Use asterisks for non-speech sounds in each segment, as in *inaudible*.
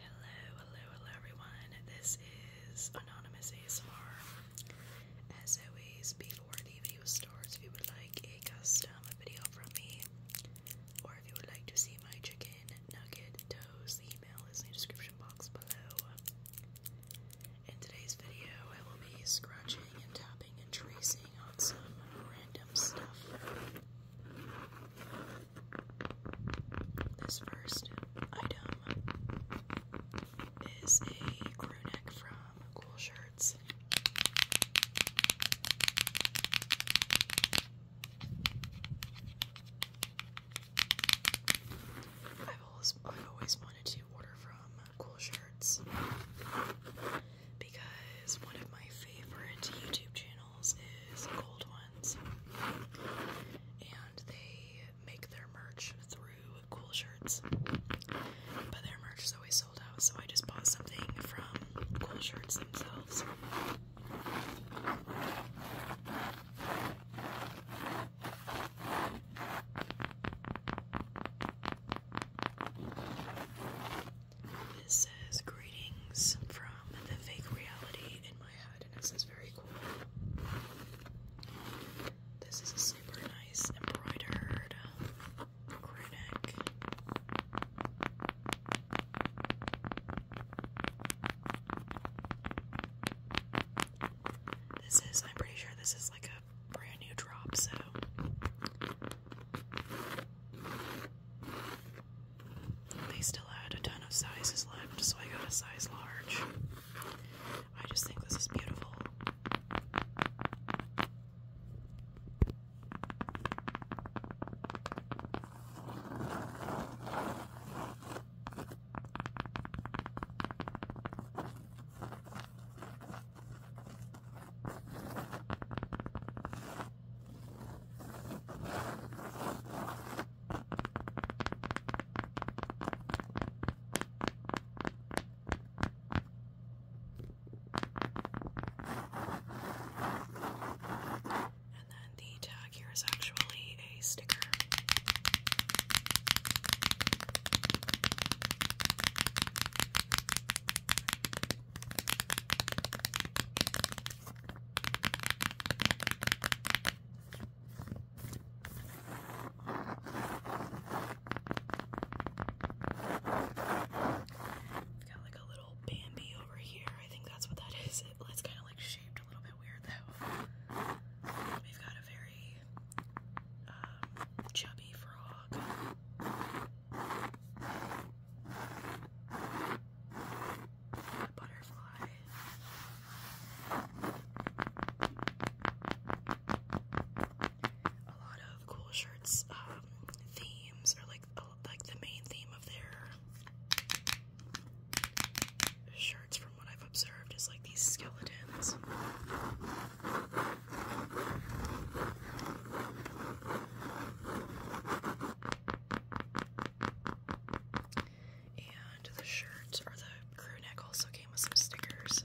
Hello, hello, hello everyone. This is Anonymous ASMR. As always, before the video starts, if you would like a custom video from me, or if you would like to see my chicken nugget toes, the email is in the description box below. In today's video, I will be scratching and tapping and tracing on some random stuff. This first item is a crew neck from Cool Shirts. I've always, I've always wanted to order from Cool Shirts because one of my favorite YouTube channels is Cold Ones, and they make their merch through Cool Shirts, but their merch is always sold out, so I just bought something from Cool Shirts themselves. This says greetings from the fake reality in my head, and it says very cool. This is a super nice embroidered gray This is, I'm pretty sure this is like a brand new drop, so they still had a ton of sizes left, so I got a size large. I just think this is beautiful. And then the tag here is actually a sticker. We've got like a little Bambi over here. I think that's what that is. It, it's kind of like shaped a little bit weird though. We've got a very um, chubby frog the butterfly. A lot of cool shirts um, themes are like like the main theme of their shirts, from what I've observed, is like these skeletons. And the shirt or the crew neck also came with some stickers.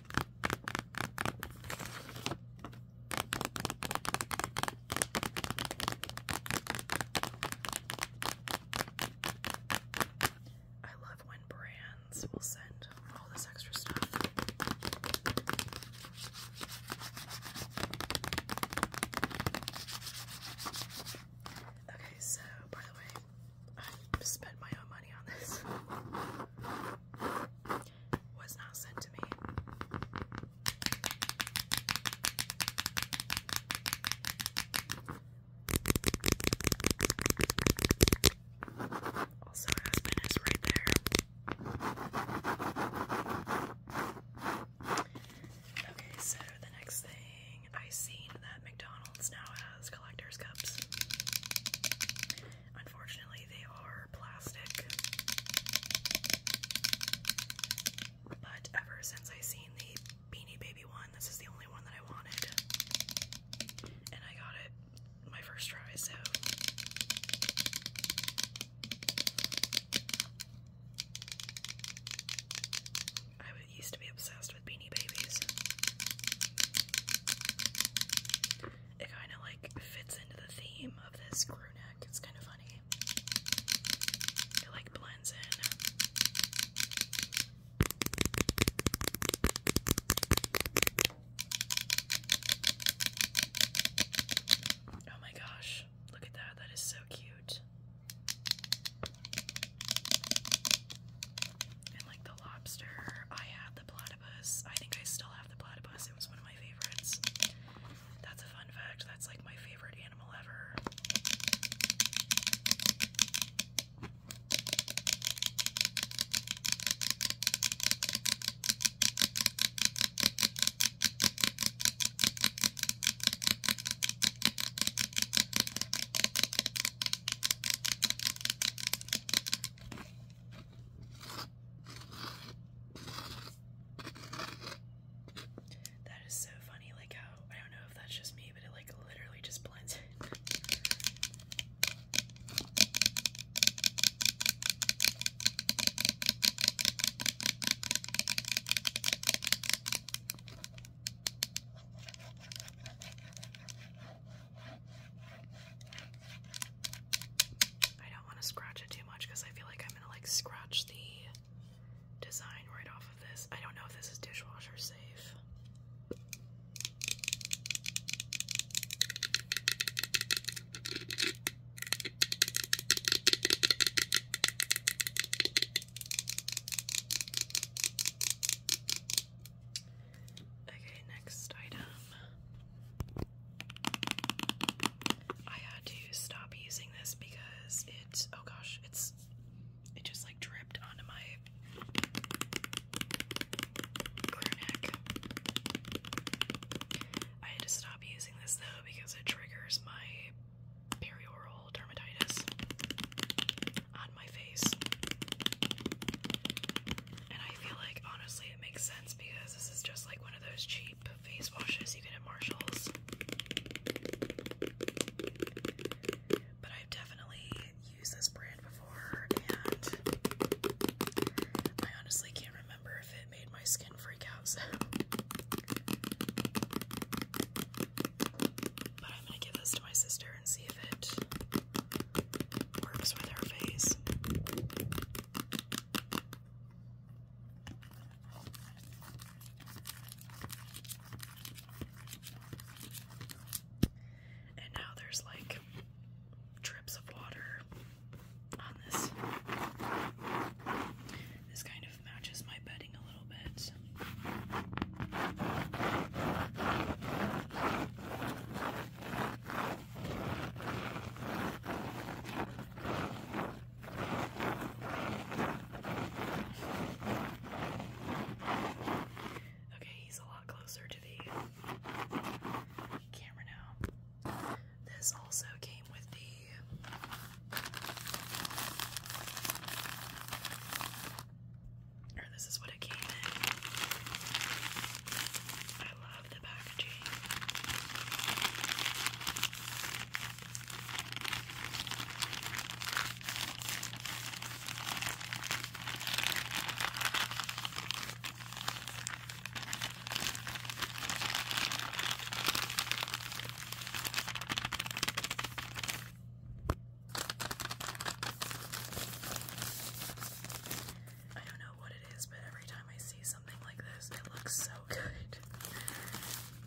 I love when brands will send all this extra stuff. Okay, so by the way, I spent my own money on this. *laughs* was not sent to me. Also, husband is right there. Okay, so the next thing I seen that McDonald's now has collector's cups. Unfortunately, they are plastic. But ever since I seen the Beanie Baby one, this is the only one that I wanted. And I got it my first try, so. I used to be obsessed with Beanie Babies it kind of like fits into the theme of this crew neck. It's kind of funny. It like blends in. Oh my gosh, look at that. That is so cute. And like the lobster, I had the platypus. I think I still the Platypus. It was one of my favorites. That's a fun fact. That's like my favorite animal ever. That is so funny, like how I don't know if that's just me, but it like literally just blends I don't want to scratch it too much because I feel like I'm gonna like scratch the design right off of this. I don't know if this is dishwasher safe. Okay, next item. I had to stop using this because it's oh gosh, it's it just like dripped onto my neck. I had to stop using this though because it triggers my perioral dermatitis on my face. And I feel like honestly it makes sense because this is just like one of those cheap face washes you can get at Marshalls. But I've definitely used this brand before and I honestly can't remember if it made my skin freak out, so. But I'm gonna give this to my sister and see if it works with her face. And now there's like drips of water on this. This kind of matches my bedding a little bit. Okay, he's a lot closer to the camera now. This also came with the. Or this is I love the packaging. I don't know what it is, but every time I see something like this, it looks so *laughs* good.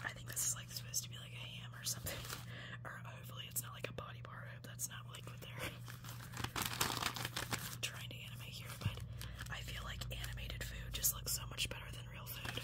I think this is like supposed to be like a ham or something. *laughs* Or hopefully it's not like a body bar. I hope that's not like what they're *laughs* trying to animate here, but I feel like animated food just looks so much better than real food.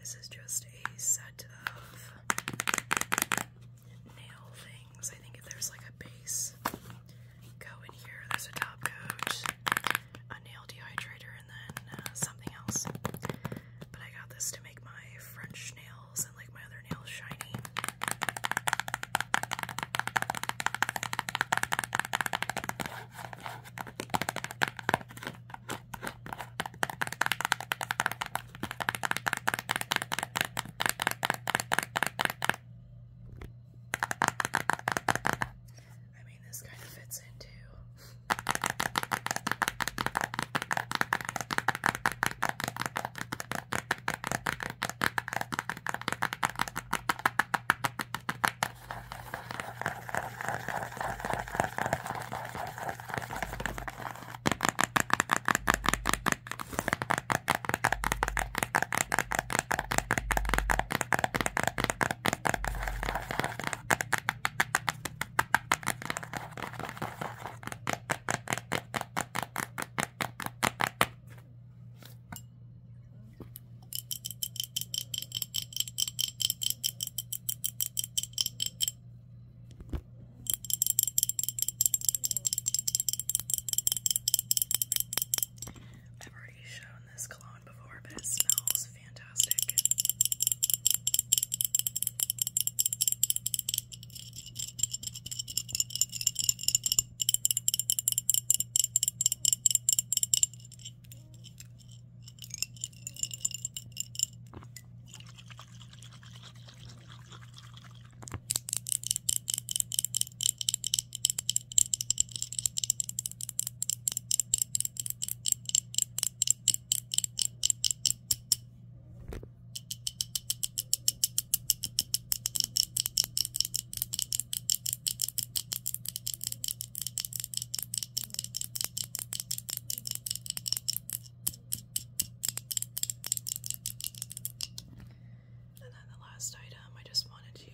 This is just a set of nail things. I think if there's like a base, go in here. There's a top coat a nail dehydrator and then uh, something else. But I got this to make my French nails and like my other nails shiny. I mean, this kind of fits in too. I've already shown this cologne before, but it smells fantastic. And then the last item, I just wanted to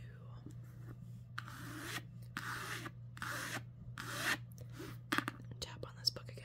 Tap on this book again.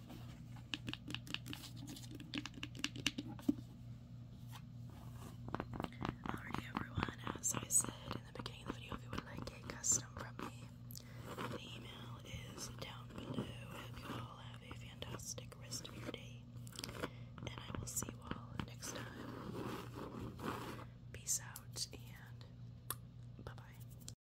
Alrighty everyone, as I said in the beginning of the video, if you would like a custom from me, the email is down below. I hope you all have a fantastic rest of your day, and I will see you all next time. Peace out, and bye-bye.